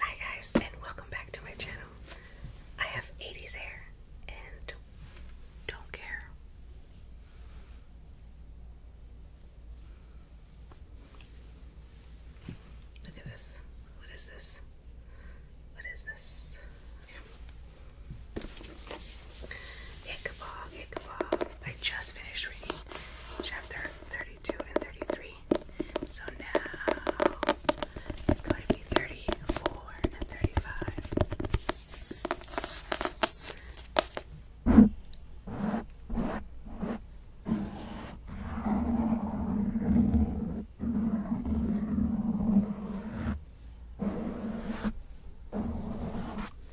Hi guys and welcome back to my channel. I have 80s hair and don't care. Look at this. What is this? What is this? Ichabod, Ichabod. I just finished reading chapter 32 and 33. So now it's going to be 34 and 35.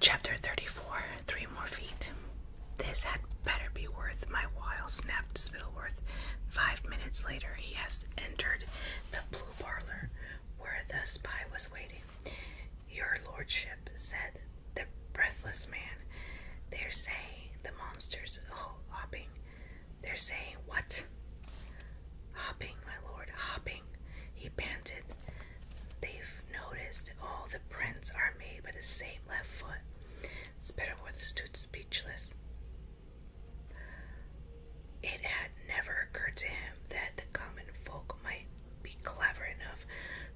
Chapter 34 Three More Feet. This had better be worth my while, snapped Spillworth. Five minutes later, he has entered the blue parlor where the spy was waiting. Your lordship, said the breathless man. They're saying the monster's oh, hopping. They're saying what? Hopping, my lord, hopping, he panted. They've noticed all the prints are made by the same left foot. Spittleworth stood speechless. It had never occurred to him that the common folk might be clever enough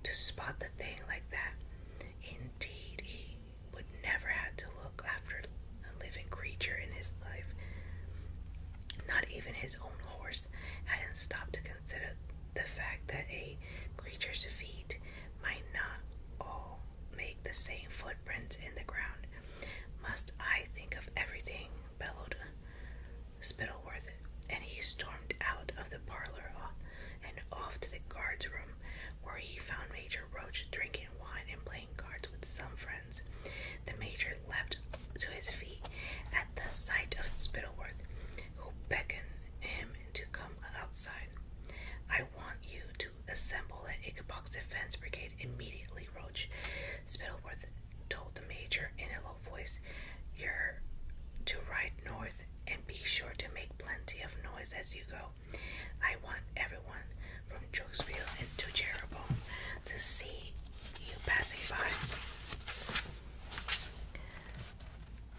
to spot the thing like that. Indeed, he would never have to look after a living creature in his life. Not even his own horse hadn't stopped to consider the fact that a creature's feet might not all make the same footprints in the ground. Must I think of everything? bellowed uh, Spittleworth, and he stormed out of the parlor uh, and off to the guard's room, where he found Major Roach drinking wine and playing cards with some friends. The major leapt to his feet at the sight of Spittleworth who beckoned him to come outside. I want you to assemble an Ichabod's defense brigade immediately, Roach. Spittleworth told the major in a low voice. You're to ride north and be sure to make plenty of noise as you go. I want everyone from Jukesville into to Jeroboam to see you passing by.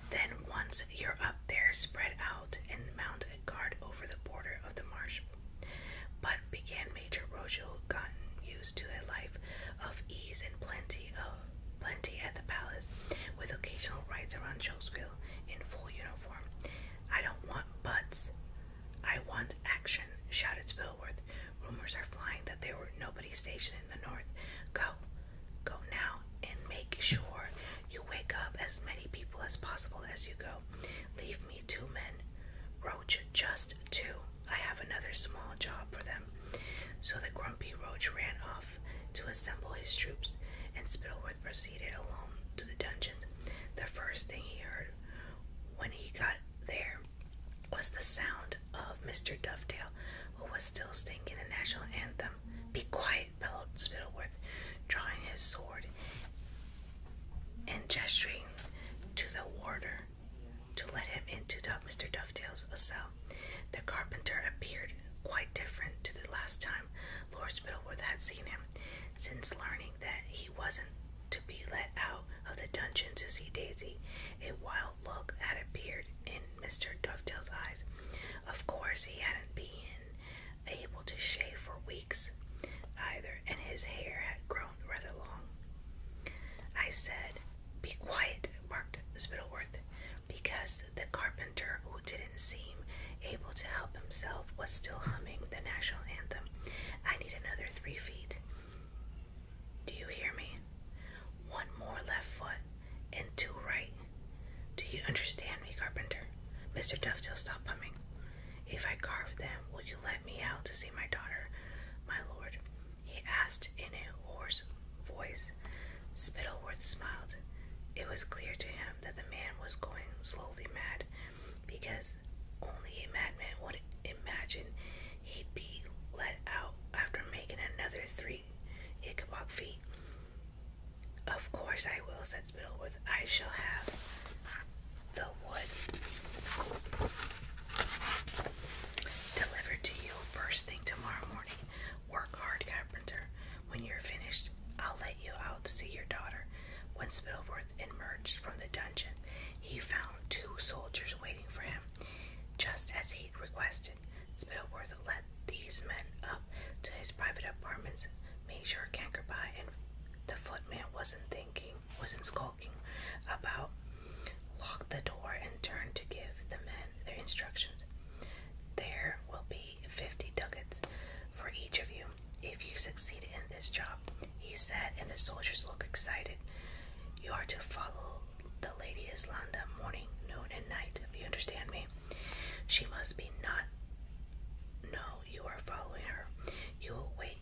Then, once you're up there, spread out and mount a guard over the border of the marsh. But began Major Rojo, gotten used to a life of ease and plenty of plenty at the palace, with occasional rides around Chokesville in full uniform. I don't want butts. I want action, shouted Spilworth. Rumors are flying that there were nobody stationed in the north. Go, Go now and make sure you wake up as many people as possible as you go. Leave me two men. Roach, just two. I have another small job for them. So the grumpy roach ran off to assemble his troops, and Spittleworth proceeded alone to the dungeons. The first thing he heard when he got there was the sound of Mr. Dovetail, who was still singing the national anthem. Be quiet, bellowed Spittleworth, drawing his sword and gesturing to the warder to let him into Mr. Dovetail's cell. The carpenter appeared quite different to the last time Lord Spittleworth had seen him, since learning that he wasn't to be let out of the dungeon to see Daisy. A wild look had appeared in Mr. Dovetail's eyes. Of course, he hadn't been able to shave for weeks either, and his hair had grown rather long. I said, Be quiet, barked Spittleworth, because the carpenter, who didn't seem able to help himself, was still humming the national anthem. I need another three feet. Do you hear me? One more left foot and two right. Do you understand me, Carpenter? Mr. Dovetail stopped humming. If I carve them, will you let me out to see my daughter, my lord? He asked in a hoarse voice. Spittleworth smiled. It was clear to him that the man was going slowly mad, because only a madman would imagine he'd be let out after making another three Ichabod feet. Of course I will, said Spittleworth. I shall have the wood delivered to you first thing tomorrow morning. Work hard, carpenter. When you're finished, I'll let you out to see your daughter. When Spittleworth emerged from the dungeon, he found two soldiers waiting for him. Just as he requested, Spittleworth led these men up to his private apartments, made sure Cankerby and the footman wasn't thinking, wasn't skulking about, locked the door, and turned to give the men their instructions. There will be fifty ducats for each of you if you succeed in this job, he said, and the soldiers looked excited. You are to follow the Lady is Islanda morning, noon, and night. If you understand me, she must be not. No, you are following her. You will wait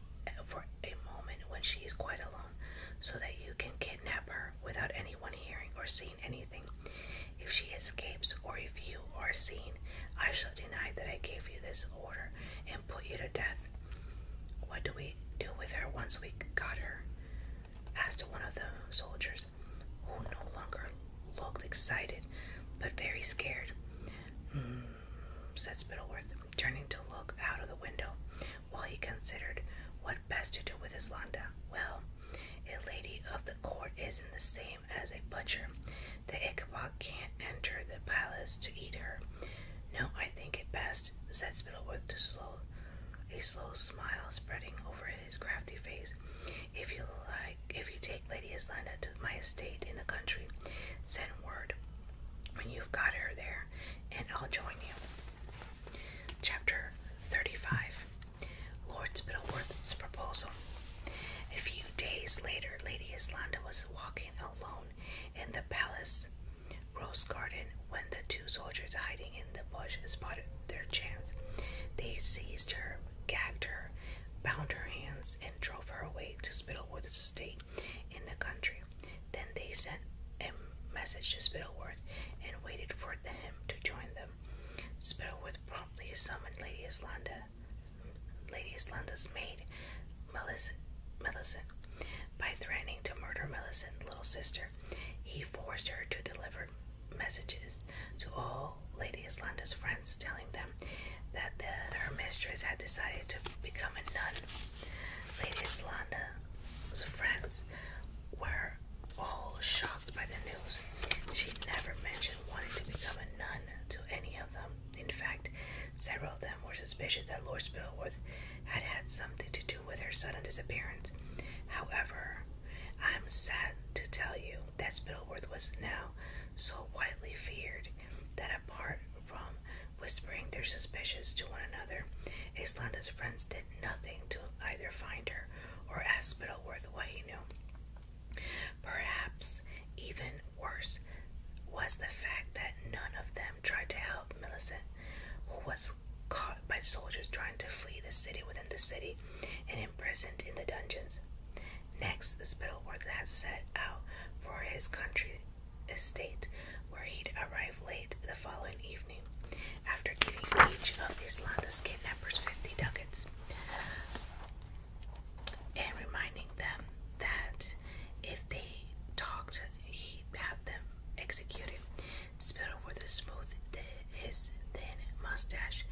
for a moment when she is quite alone, so that you can kidnap her without anyone hearing or seeing anything. If she escapes, or if you are seen, I shall deny that I gave you this order and put you to death. What do we do with her once we got her? asked one of the soldiers, who no longer looked excited but very scared. Mm, said Spittleworth, turning to look out of the window while he considered what best to do with his Landa. Well, a lady of the court isn't the same as a butcher. The Ichabod can't enter the palace to eat her. No, I think it best, said Spittleworth to slow a slow smile spreading over his crafty face. If you like, if you take Lady Islanda to my estate in the country, send word when you've got her there, and I'll join you. Chapter 35 Lord Spittleworth's Proposal. A few days later, Lady Islanda was walking alone in the palace Rose Garden when the two soldiers hiding in the bush spotted their chance. They seized her, gagged her, bound her hands, and drove her away to Spittleworth Estate in the country. Then they sent a message to Spittleworth and waited for him to join them. Spittleworth promptly summoned Lady Islanda, Lady Islanda's maid, Millicent, Millicent by threatening to murder Millicent's little sister he forced her to deliver messages to all Lady Islanda's friends, telling them that her mistress had decided to become a nun. Lady Islanda's friends were all shocked by the news. She never mentioned wanting to become a nun to any of them. In fact, several of them were suspicious that Lord Spillworth had had something to do with her sudden disappearance. However, I am sad to tell you that Spillworth was now so widely feared that apart from whispering their suspicions to one another, Islanda's friends did nothing to either find her or ask Spittleworth what he knew. Perhaps even worse was the fact that none of them tried to help Millicent, who was caught by soldiers trying to flee the city within the city and imprisoned in the dungeons. Next, Spittleworth had set out for his country estate, where he'd arrive late the following evening, after giving each of Islanda's kidnappers 50 ducats, and reminding them that if they talked, he'd have them executed. Spittle with smooth his thin mustache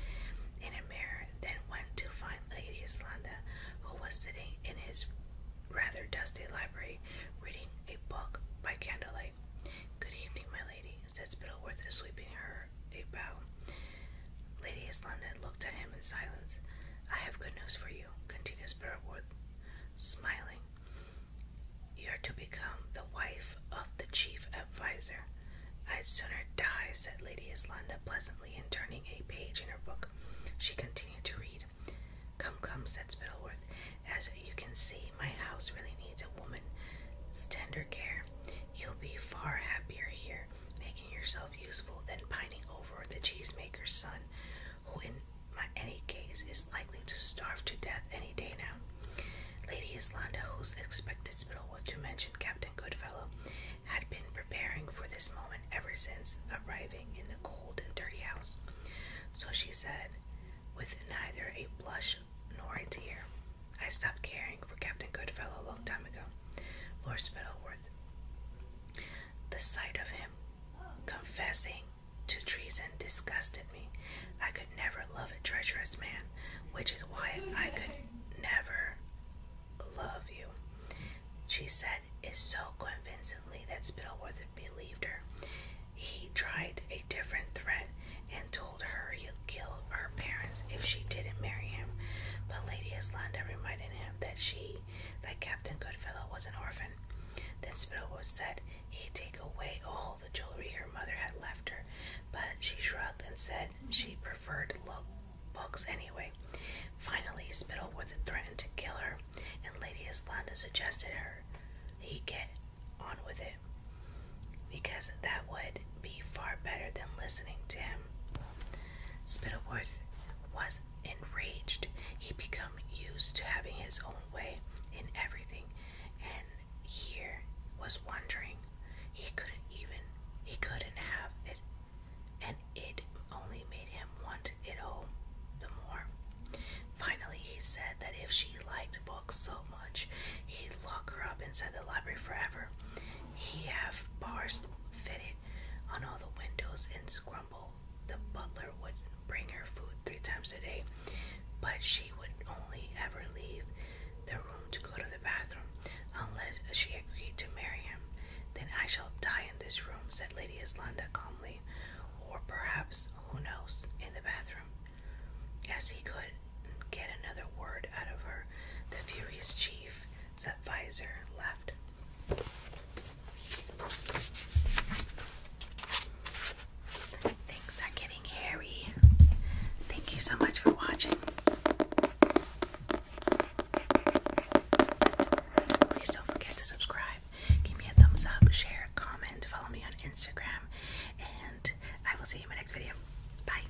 in a mirror, then went to find Lady Islanda, who was sitting in his rather dusty library, reading a book by candlelight. Good evening, my lady, said Spittleworth, sweeping her a bow. Lady Islanda looked at him in silence. I have good news for you, continued Spittleworth smiling. You're to become the wife of the chief adviser. I'd sooner die, said Lady Islanda pleasantly, and turning a page in her book, she continued to read. Come, come, said Spittleworth. As you can see, my house really needs a woman's tender care. You'll be far happier here, making yourself useful, than pining over the cheesemaker's son, who in my any case is likely to starve to death any day now. Lady Islanda, whose expected spill was to mention Captain Goodfellow, had been preparing for this moment ever since arriving in the cold and dirty house. So she said, with neither a blush nor a tear, I stopped caring for Captain Goodfellow a long time ago. Lord Spittleworth. The sight of him confessing to treason disgusted me. I could never love a treacherous man, which is why I could never love you. She said it so convincingly that Spillworth believed her. He tried a different threat and told her he'd kill her parents if she didn't marry him. But Lady Islanda reminded him that she, that Captain Goodfellow, was an orphan then Spittleworth said he'd take away all the jewelry her mother had left her, but she shrugged and said she preferred look books anyway. Finally, Spittleworth threatened to kill her, and Lady Islanda suggested her he get on with it because that would be far better than listening to him. Spittleworth was enraged. He became used to having his own way in everything and here was wondering he couldn't even he couldn't have it and it only made him want it all the more finally he said that if she liked books so much he'd lock her up inside the library forever he have bars fitted on all the windows and scramble the butler would bring her food three times a day, but she would only ever leave the room to go to the bathroom unless she agreed to marry him. Then I shall die in this room, said Lady Islanda calmly, or perhaps, who knows, in the bathroom. As he could get another word out of her, the furious chief, chief's adviser left. Things are getting hairy. Thank you so much for watching. Please don't forget to subscribe. Give me a thumbs up, share, comment, follow me on Instagram, and I will see you in my next video. Bye.